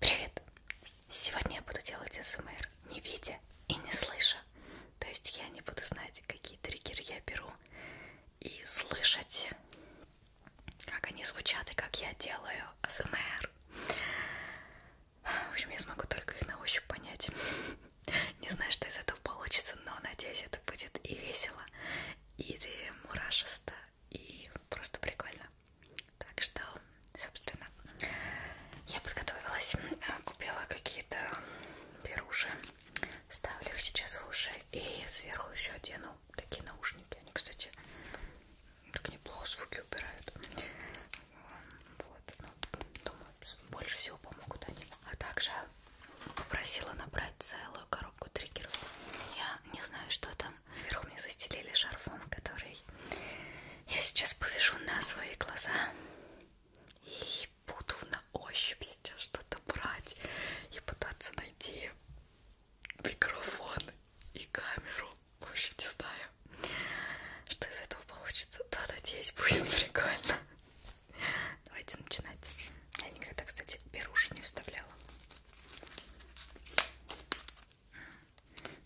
Привет! Сегодня я буду делать СМР, не видя и не слыша. То есть я не буду знать, какие триггеры я беру, и слышать, как они звучат и как я делаю АСМР. В общем, я смогу только их на ощупь понять. Не знаю, что из этого получится, но надеюсь, это будет и весело, и мурашисто, и просто прикольно. Так что, собственно, я подготовилась, а, купила какие-то беруши, ставлю их сейчас в уши и сверху еще одену такие наушники. Они, кстати, так неплохо звуки убирают. Вот, ну, думаю, больше всего помогут они. А также попросила набрать целую коробку триггеров. Я не знаю, что там Сверху мне застелили шарфом, который я сейчас повяжу на свои глаза. И буду на ощупь сейчас что-то брать и пытаться найти микрофон и камеру. Вообще не знаю, что из этого получится. Да, надеюсь, будет прикольно. Давайте начинать. Я никогда, кстати, беруши не вставляла.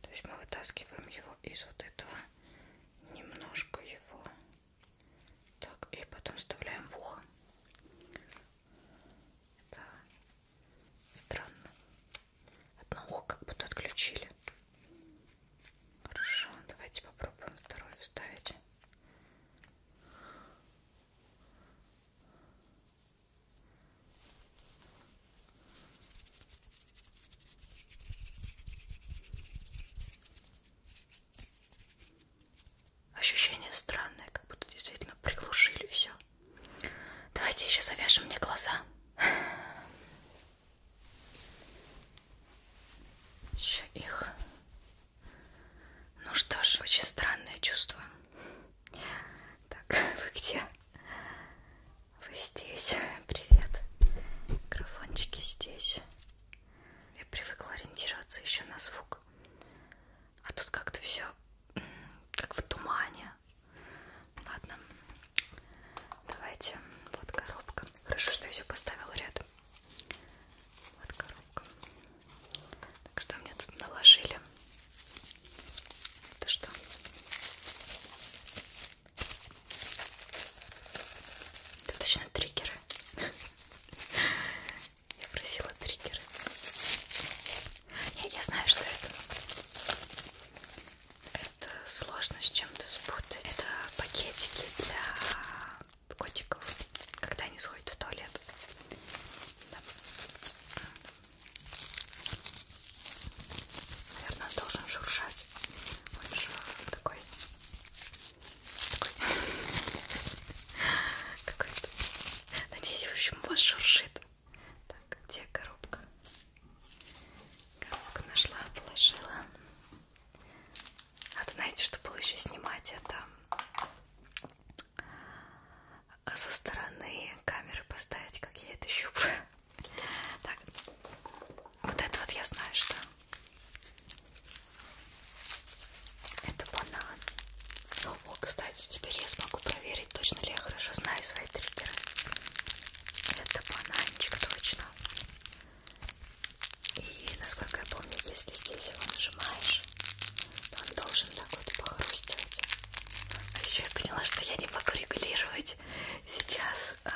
То есть мы вытаскиваем его из вот этого, немножко его, так, и потом вставляем в ухо. Это странно. Одно ухо как будто отключили. Хорошо, давайте попробуем второе вставить. Ощущение странное, как будто действительно приглушили все. Давайте еще завяжем мне глаза. Еще их. Ну что ж, очень странное чувство. Так, вы где? Вы здесь. Привет. Микрофончики здесь. Я привыкла ориентироваться еще на звук. А тут как-то все как в тумане. Ладно. Давайте. Вот коробка. Хорошо, что я все поставила рядом. Вот коробка. Так что мне тут наложили. Это что? Это точно триггеры. Я просила триггеры. Я, я знаю, что это. Это сложно с чем-то спутать. Это пакетики для котиков, когда они сходят в туалет. Да. Наверное, должен шуршать. Он же такой... Такой... Какой-то... Надеюсь, в общем, вас шуршит. Так, где коробка? Коробку нашла, положила. Надо, знаете, что было еще снимать? Это а со стороны камеры поставить, как я это щупаю. Так, вот это вот я знаю, что это банан. Ну, о, кстати, теперь я смогу проверить, точно ли я хорошо знаю свои триггеры. Это бананчик, точно. И, насколько я помню, если здесь его нажимаешь, то он должен так вот похрустывать. А еще я поняла, что я не могу регулировать сейчас э,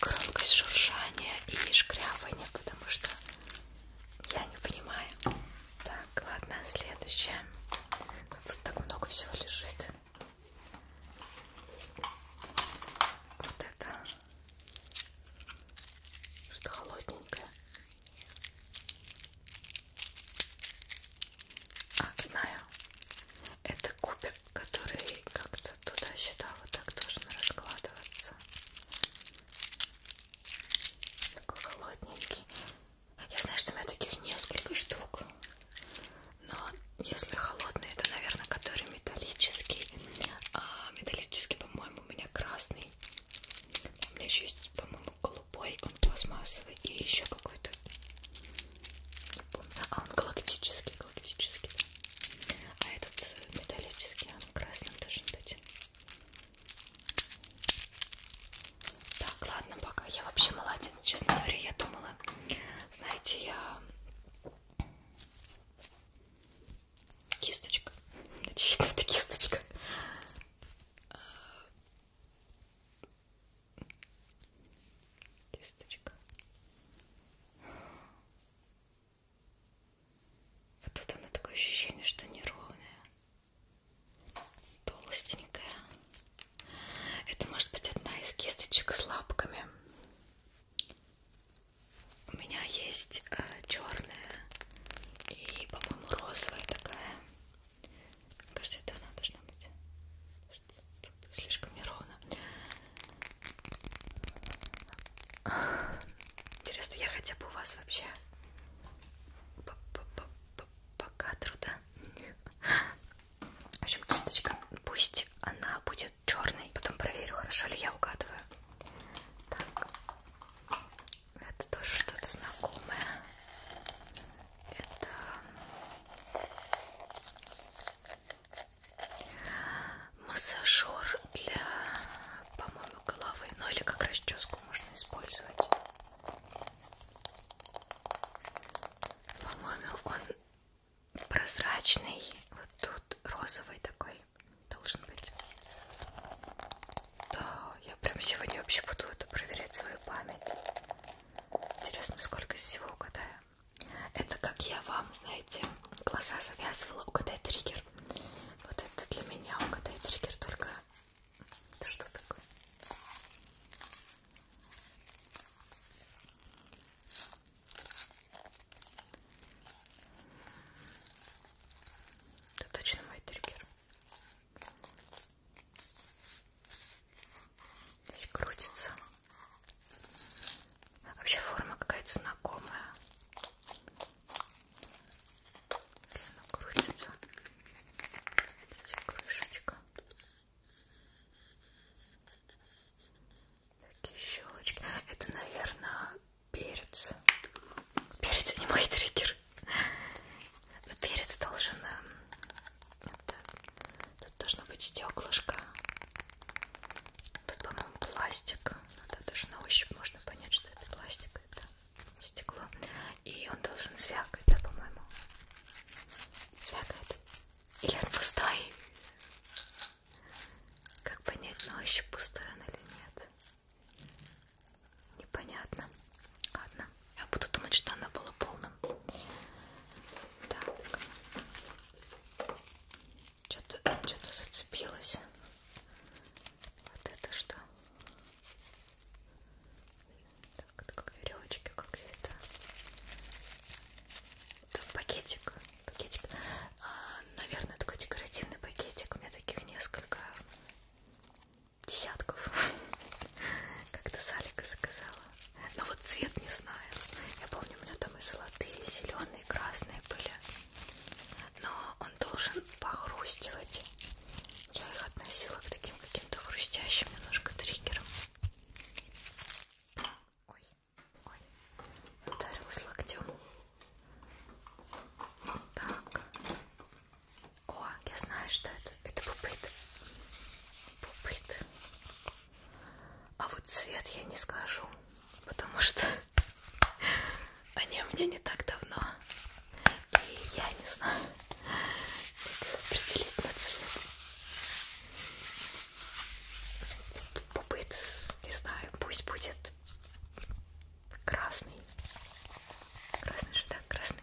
громкость шуршания и шкрябания, потому что я не понимаю. Так, ладно, следующее. Тут так много всего лежит. Вот это что-то холодненькое. А, знаю. Это кубик, который как-то туда-сюда вот так должен раскладываться. Такой холодненький. Я знаю, что у меня таких несколько штук. Но если холодные, то, наверное, который металлический. А металлический, по-моему, у меня красный. У меня еще есть, по-моему, голубой голубой, он пластмассовый и еще какой-то, не помню, а он галактический, галактический, а этот э, металлический, он красным должен быть. Так, ладно, пока. Я вообще молодец, честно говоря, я думала, знаете, я кисточка, это кисточка кисточка. Вот тут она такое ощущение, что неровная, толстенькая. Это может быть одна из кисточек с лапками. У меня есть э, черная и, по-моему, розовая такая. Кажется, это она должна быть. Тут слишком неровно. Интересно, я хотя бы у вас вообще по, -по, -по, -по, -по кадру, да? В общем, кисточка, пусть она будет черной. Потом проверю, хорошо ли я угадываю. Так. Это тоже что-то знакомое. Это массажер для, по-моему, головы. Ну или как расческу можно использовать. По-моему, он прозрачный. Вот тут розовый такой должен быть. Да, я прям сегодня вообще буду это проверять свою память. Интересно, сколько из всего угадаю. Это как я вам, знаете, глаза завязывала. Угадай триггер. Вот это для меня угадай триггер только... Это что такое? Это точно мой триггер. Здесь крутится. Вообще форма какая-то знакомая. Она крутится. Здесь крышечка. Такие щелочки. Это, наверное, перец. Перец а не мой триггер. Перец должен... Вот эм, Тут должно быть стеклышко. Тут, по-моему, пластик. Это даже на ощупь можно понять, что это пластик, это стекло. И он должен звякать, да, по-моему. Звякает. Или он пустой. Как понять, на ощупь пустой он или нет? Непонятно. Ладно. Я буду думать, что она была полным. Так. Что-то что зацепилось. Вот это что? Так, это как веревочки какие-то. Это пакетик. Пакетик. А, наверное, такой декоративный пакетик. У меня таких несколько десятков. Как-то Салика заказала. Но ну вот цвет не знаю. Я помню, у меня там и золотые, и зеленые, и красные были. Но он должен похрустивать. Я их относила к таким каким-то хрустящим немножко триггерам. Ой, ой. Ударилась локтем. Так. О, я знаю, что это. Это пупыт. Пупыт. А вот цвет я не скажу, потому что они у меня не так давно. И я не знаю, как определить на цвет. Пупыт, не знаю, пусть будет красный. Красный же, да? Красный.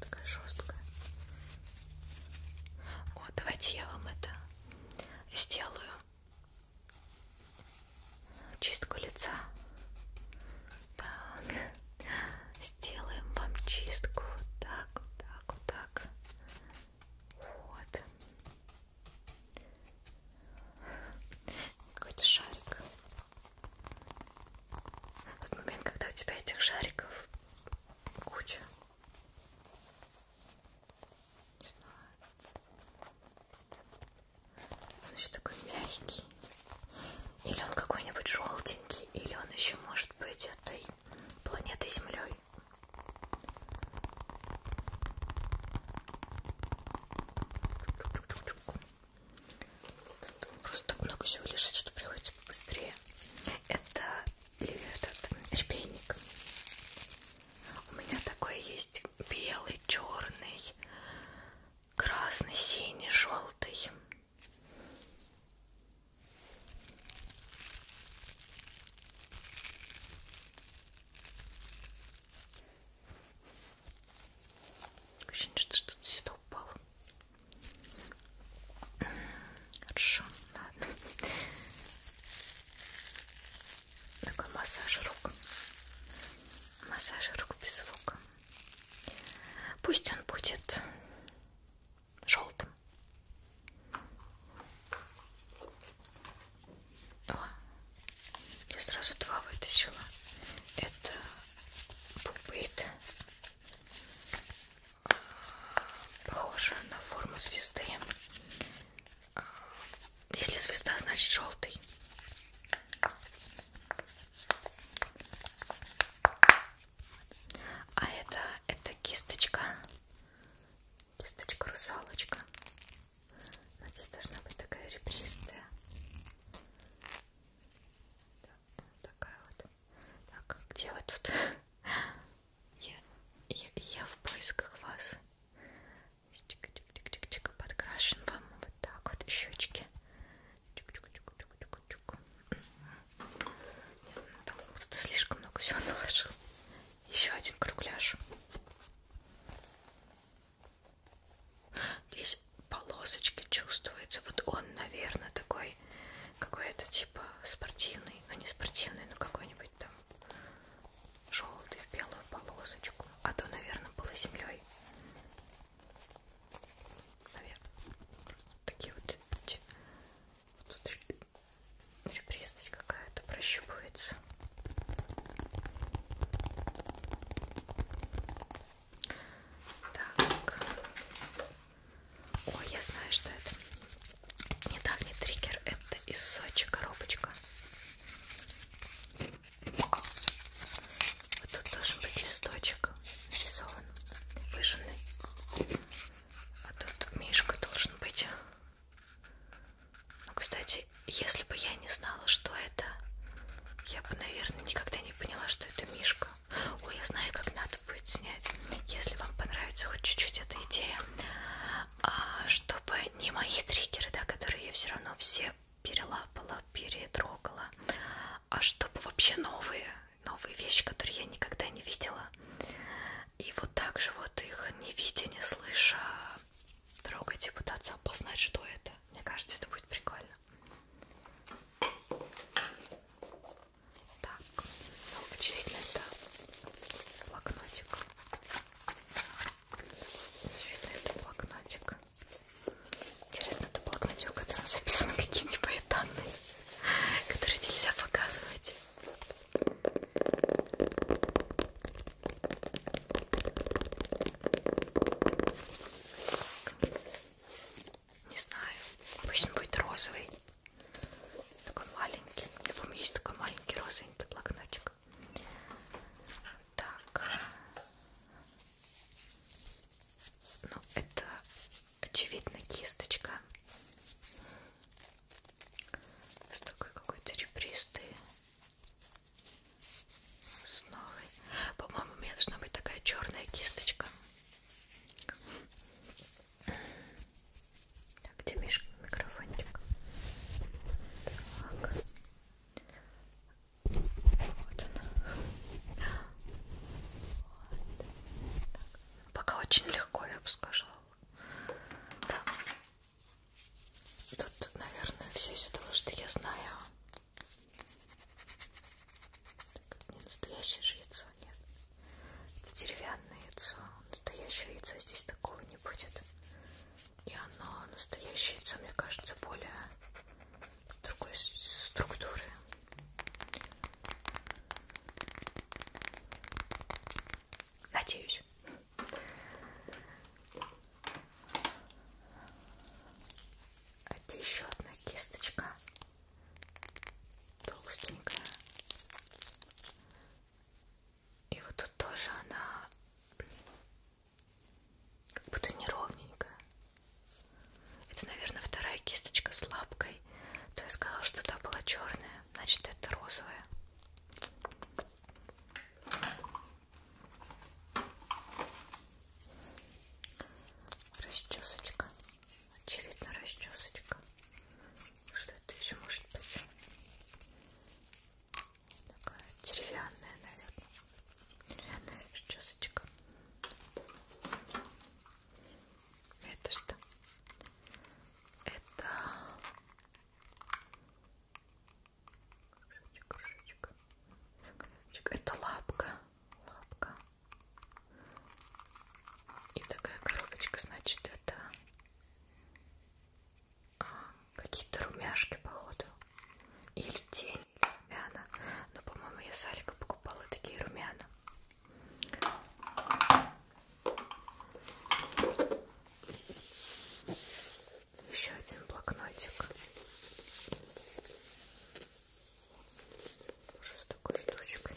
Такая жесткая. О, давайте я вам это сделаю. Чистку лица. Так. Сделаем вам чистку. Вот так, вот так, вот так. Вот. Какой-то шарик. Тот момент, когда у тебя этих шариков куча. Не знаю. Он еще такой мягкий. Или он какой-нибудь желтенький, или он еще может быть этой планетой Землей. Тут просто так много всего лежит, что приходится побыстрее. Это этот репейник. У меня такой есть белый, черный, красный, синий, желтый. Ощущение, что что-то сюда упало. Хорошо, ладно. Такой массаж рук. Массаж рук без звука. Пусть он будет желтым. О, я сразу два вытащила. Это пупыт. А, похоже на форму звезды. А, если звезда, значит желтый. А это, это кисточка. Кисточка русалочка. Здесь должна быть такая ребристая да, вот ну, такая вот. Так, где вы тут? Я, я, я в поисках вас. Чик, чик, чик, чик, чик, подкрашен вам вот так вот щечки. Чик, чик, чик, чик, чик, чик. Нет, ну, там кто-то слишком много всего наложил. Еще один кругляш. Здесь полосочки чувствуются. Вот он, наверное, такой какой-то типа спортивный, но ну, не спортивный, но какой-нибудь там желтый в белую полосочку. А то, наверное, было землей. Наверное. Такие вот эти. Тут ребристость какая-то прощупывается. Так. Ой, я знаю, что это. Недавний триггер. Это из Сочи коробочка. Вот тут должен быть листочек нарисован, выжженный. А тут мишка должен быть. Ну, кстати, если бы я не знала, что это, я бы, наверное, никогда не не поняла, что это мишка. Ой, я знаю, как надо будет снять. Если вам понравится хоть чуть-чуть эта идея, а, чтобы не мои триггеры, да, которые я все равно все перелапала, перетрогала, а чтобы вообще новые, новые вещи, которые я никогда не видела. И вот так же вот их не видя, не слыша, трогать и пытаться опознать, что это. Мне кажется, это будет прикольно. Так, ну, очевидно, это блокнотик. Очевидно, это блокнотик. Интересно, это блокнотик, в котором записаны какие-нибудь мои данные, которые нельзя показывать. Не знаю. Пусть он будет розовый. Такой маленький. У меня, по-моему, есть такой маленький розовенький блокнотик. Так. Ну, это, очевидно, кисточка. С такой какой-то ребристой с новой. По-моему, у меня должна быть такая черная кисточка. Так, где Миш, микрофончик? Так. Вот она. Вот. Так. Пока очень легко, я бы сказала. Да. Тут, наверное, все из-за того, что я знаю так, это не настоящее же яйцо, нет. Это деревянное яйцо. Настоящее яйца здесь такого не будет. И оно, настоящее яйцо, мне кажется, более другой структуры. Надеюсь. А где еще одна кисточка? Толстенькая. И вот тут тоже она как будто неровненькая. Это, наверное, вторая кисточка с лапкой. То я сказала, что та была черная, значит это розовая. Расчесочка. Очевидно, расчесочка. Что это еще может быть? Такая деревянная, наверное. Деревянная расчесочка. Это что? Это кружочек, кружочек. Это лапка лапка. И такая коробочка, значит, это а, какие-то румяшки, походу. Или тень, или румяна. Но, по-моему, я с Алика покупала такие румяна. Еще один блокнотик. Уже с такой штучкой.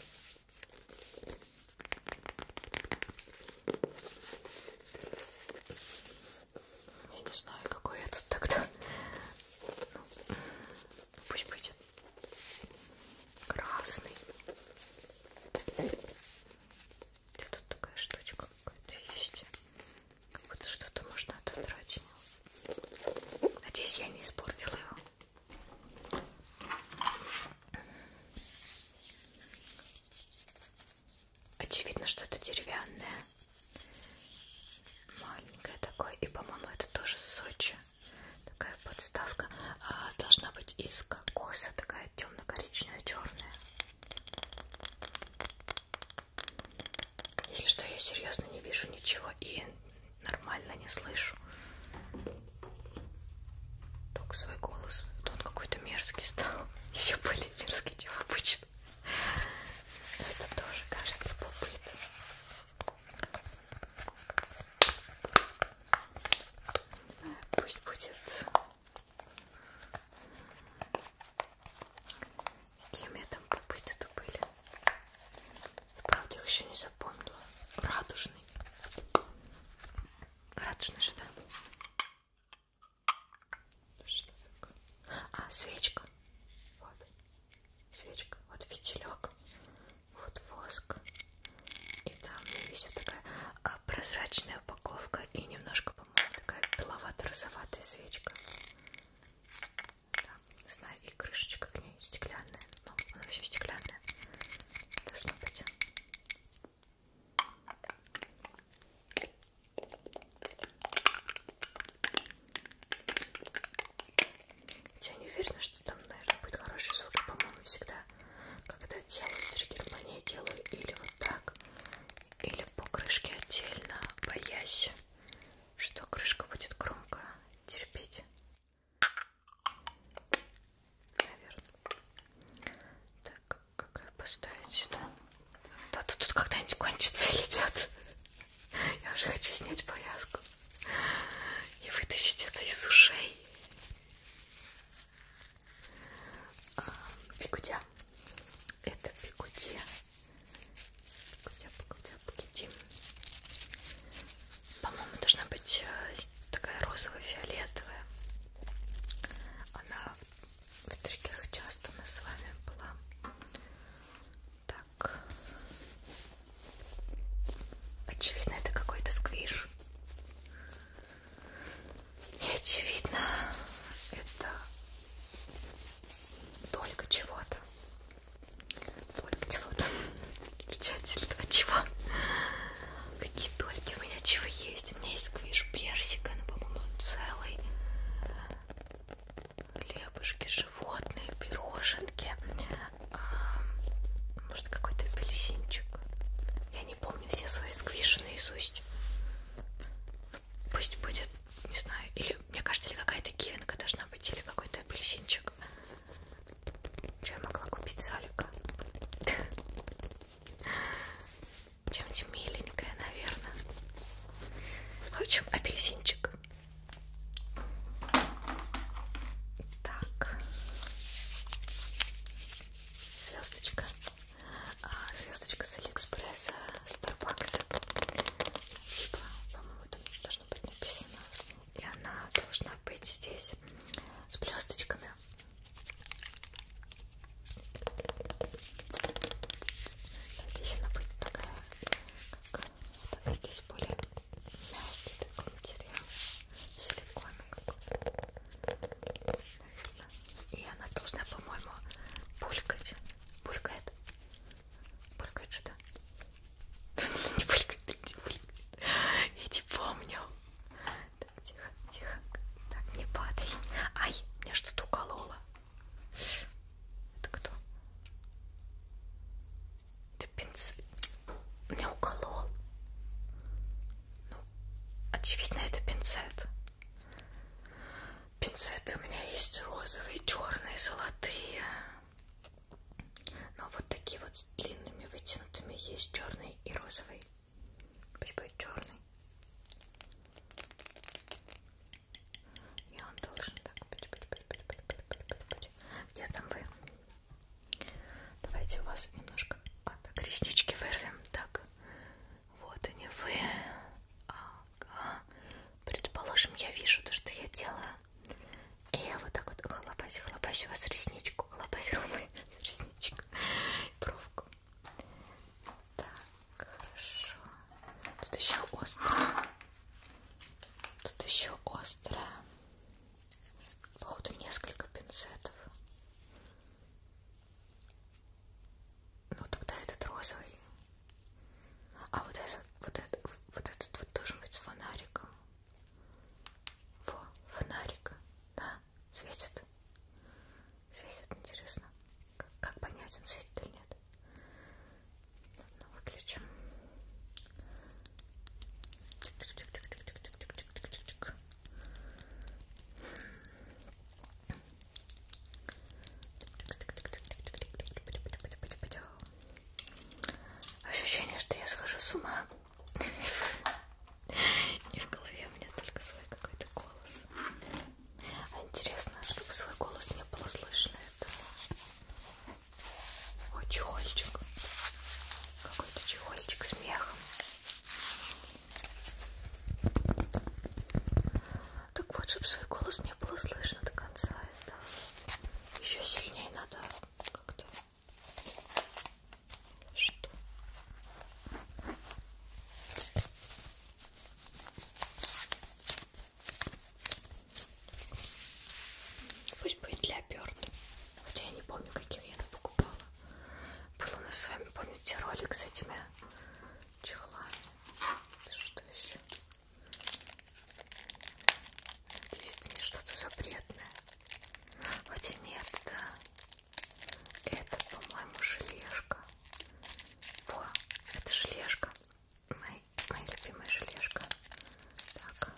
Я не знаю, какой этот тогда. Ну, пусть будет красный. Где тут такая штучка какая-то есть? Вот что-то можно отодрать. Надеюсь, я не испортила его. Очевидно, что это деревянное. Маленькое такое. И, по-моему, это тоже Сочи. Такая подставка. А, должна быть из кокоса. Такая темно-коричневая, черная. Если что, я серьезно не вижу ничего и нормально не слышу. Только свой голос. То он какой-то мерзкий стал. Ее более мерзкий, чем обычно. Это тоже кажется попыт. Не знаю, пусть будет Какие у меня там попыты-то были. Я, правда, их еще не запомнила. Радужный. Радужный же, да? Что такое? А, свечка. Вот. Свечка. Вот фитилек. Вот воск. И там висит такая а, прозрачная упаковка и немножко, по-моему, такая беловато-розоватая свечка да, знаю, и крышечка к ней стеклянная, но она все стеклянная, должно быть. Я не уверена, что там, наверное, будет хороший звук. Я, по-моему, всегда, когда делаю триггер, по ней делаю или вот так, или по крышке отдельно, боясь что крышка будет громко терпеть. Наверное. Так, как ее поставить сюда? Да-то тут когда-нибудь кончится летят. Я уже хочу снять повязку и вытащить это из ушей. Бигуди. А, это бигуди по-моему, должна быть э, такая розово-фиолетовая. Она в трекерах часто у нас с вами была. Так. Очевидно, это какой-то сквиш. И очевидно, это только чего-то. Только чего-то. Включатель этого чего? Какие дольки у меня чего есть? У меня есть квиш персика, но, по-моему, он целый. Хлебушки, животные, пироженки. А, может, какой-то апельсинчик. Я не помню все свои сквиши наизусть. Ну, пусть будет не знаю, или, мне кажется, или какая-то кивинка должна быть, или какой-то апельсинчик. Что я могла купить салика? Чем-то миленькая, наверное. В общем, апельсинчик. Так. Звездочка. А, Звездочка с Алиэкспресса, Старбакса. Типа, по-моему, там должно быть написано. И она должна быть здесь с блесточками. Здесь она будет такая, как такая здесь более мягкий такой материал, силикон какой-то. И она должна, по-моему, булькать. Булькает. Булькает же, да? Не булькает, не булькает. Я не помню. Так, тихо, тихо. Так, не падай. Ай, меня что-то укололо. Это кто? Ты пинцет. Меня уколол. Ну, очевидно, это пинцет. Пинцеты у меня есть розовые, черные, золотые. Но вот такие вот с длинными вытянутыми есть черный и розовый. Пусть будет черный. И он должен так быть, быть, быть, быть, быть, быть, быть, быть, быть. Где там вы? Давайте у вас немножко а, так, реснички вырвем. Так, вот они вы. А, так, предположим, я вижу то, что я делаю, и я вот так вот хлопаюсь, хлопаюсь у вас ресничку, хлопаюсь, хлопаюсь ресничку, бровку. Так, хорошо. Тут еще острая. Тут еще острая. Походу несколько пинцетов. Ну тогда этот розовый а вот этот вот, этот, вот этот вот должен быть с фонариком. Во, фонарик, да, светит. Светит, интересно. Как, как понять, он светит или нет? Ладно, выключим. Ощущение, что я схожу с ума. И в голове у меня только свой какой-то голос. А интересно, чтобы свой голос не было слышно. Это... О, чехольчик. Какой-то чехольчик с мехом. Так вот, чтобы свой голос не было слышно до конца это еще сильнее надо как-то что пусть будет для оберт хотя я не помню каких я там покупала был у нас с вами помните ролик с этими чехлами что еще Надеюсь, это не что-то запретное. Хотя нет, да. Это, по-моему, желешка. Во, это желешка. Моя, моя любимая желешка. Так.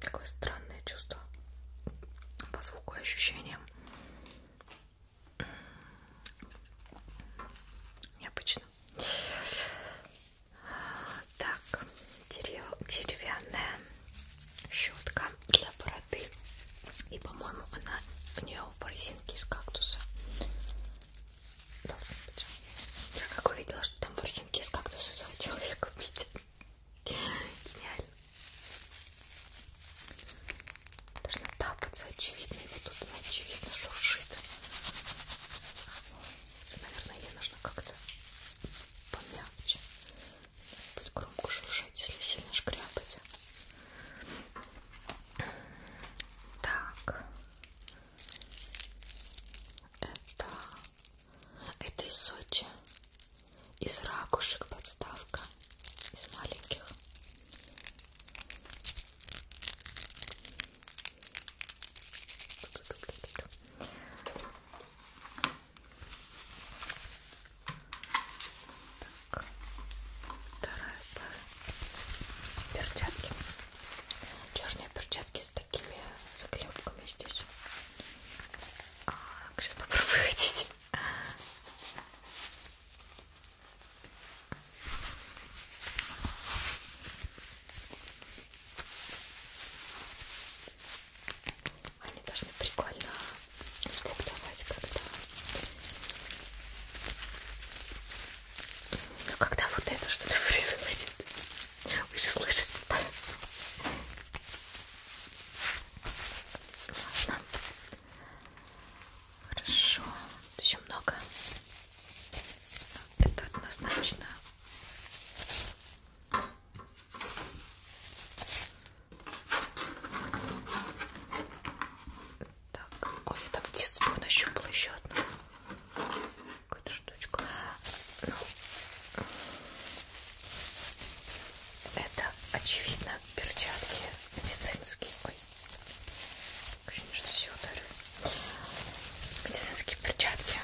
Такое странное чувство по звуку и ощущениям. Необычно. Так, дерев... деревянная щетка для бороды. И, по-моему, она в нее ворсинки из кактуса должен быть. Я как увидела, что там ворсинки из кактуса захотела их купить. Гениально. Должна тапаться, очевидно, и вот тут она ну, очевидно шуршит. Наверное, ей нужно как-то помягче. Будет громко шуршать, если сильно шкрябать. Так. Это... Это из Сочи. Из ракушек подставка. Из маленьких. Так, вторая пара. Перчатки. Черные перчатки с такими заклепками здесь. А, сейчас попробую ходить. Они должны прикольно звук давать, когда ну когда вот это что-то происходит, вы же слышите, да? Ладно. Хорошо. Тут еще много. Это однозначно. Так, ой, я там кисточку нащупала еще одну какую-то штучку. Ну, это, очевидно, перчатки медицинские. Ой, ощущение, что все ударю. Медицинские перчатки.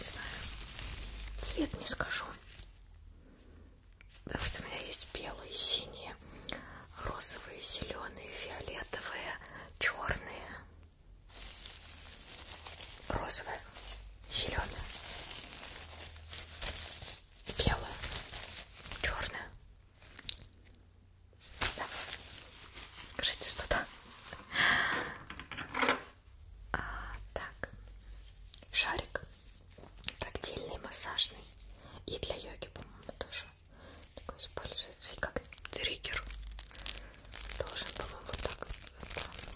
Не знаю. Цвет не скажу. Потому что у меня есть белые, синие, розовые, зеленые, фиолетовые, черные розовая, зеленая, белая, черная. Да. Кажется, что да. А, так, шарик тактильный, массажный и для йоги, по-моему, тоже такой используется и как триггер должен, по-моему, вот так,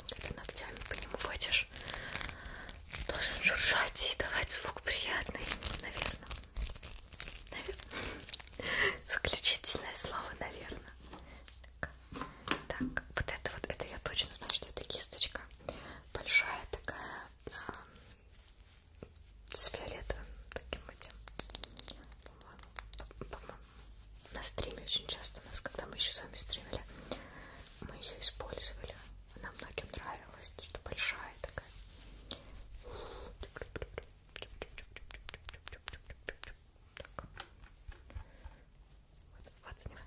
когда ногтями по нему водишь, должен жужжать и давать звук приятный, наверное. Наверное. Заключительное слово, наверное. Так. так, вот это вот, это я точно знаю, что это кисточка большая такая, э, с фиолетовым таким этим по-моему, на стриме очень часто у нас, когда мы еще с вами стримили, мы ее использовали. Она многим нравилась, что большая такая. Так. Вот, вот, понимаете?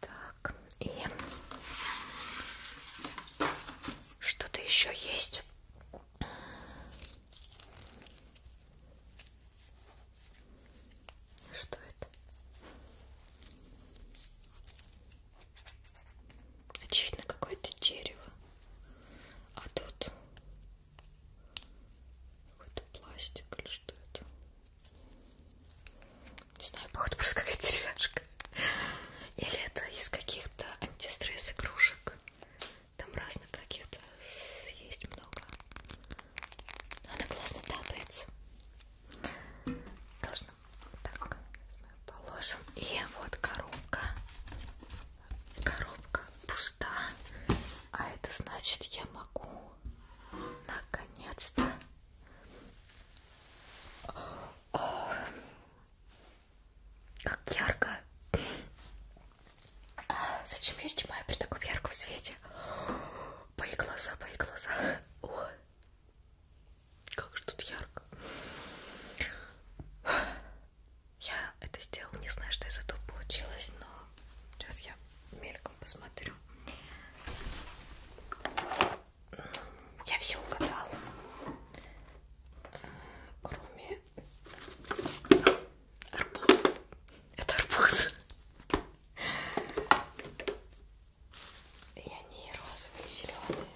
Так, и что-то еще есть. Что это? Очевидно, какое-то дерево. А тут какой-то пластик или что это? Не знаю, походу просто какая-то деревяшка. Или это из каких-то антистресс игрушек. Там разных каких-то есть много. Но она классно тапается. Должно. Так, мы положим. И вот коробка. Коробка пуста. А это значит, я могу наконец-то как ярко. Зачем я снимаю при таком ярком свете? Мои глаза, мои глаза. О, как же тут ярко. Я это сделала, не знаю, что из этого получилось, но сейчас я мельком посмотрю. Я все угадала. Кроме арбуз. Это арбуз. И они розовые, зеленые.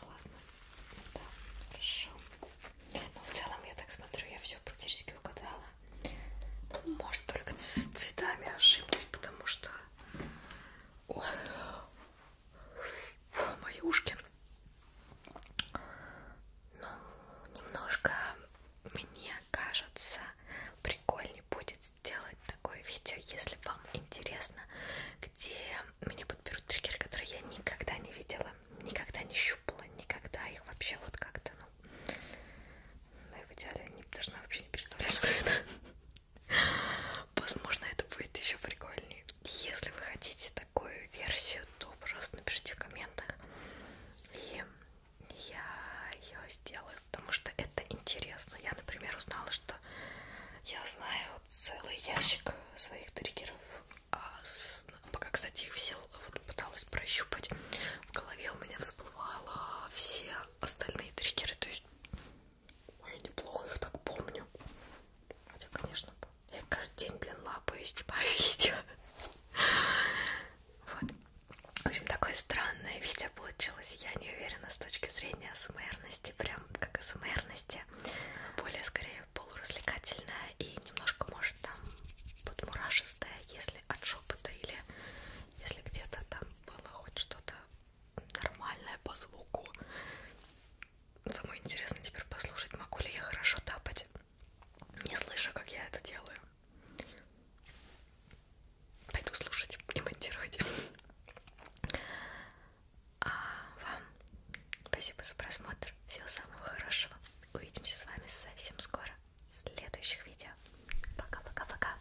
Ладно. Да, хорошо. Ну, в целом, я так смотрю, я все практически угадала. Может только с цветами ошиблась, потому что Ой. мои ушки ну, немножко мне кажется прикольнее будет сделать такое видео, если вам интересно, где меня подберут триггеры, которые я никогда не видела, никогда не щупала, никогда их вообще вот как-то ну, но ну и в идеале не должна вообще не представлять, что это. Возможно, это будет еще прикольнее. Если вы хотите такую версию, то, пожалуйста, напишите в комментах. И я ее сделаю, потому что это интересно. Я, например, узнала, что я знаю целый ящик своих триггеров. А ну, пока, кстати, их все долго вот пыталась прощупать, в голове у меня всплывало все остальные триггеры, то есть ой, неплохо их так помню. Хотя, конечно, я каждый день, блин, лапаю и снимаю видео. Вот. В общем, такое странное видео получилось. Я не уверена с точки зрения СМРности, прям как СМРности. Более, скорее, полуразвлекательное и немножко, может, что там вот мурашистая, если от шепота или если где-то там было хоть что-то нормальное по звуку. Самое интересно теперь послушать, могу ли я хорошо тапать, не слышу, как я это делаю. Пойду слушать и монтировать. А вам спасибо за просмотр. Всего самого хорошего. Увидимся с вами совсем скоро следующих видео. Пока-пока-пока.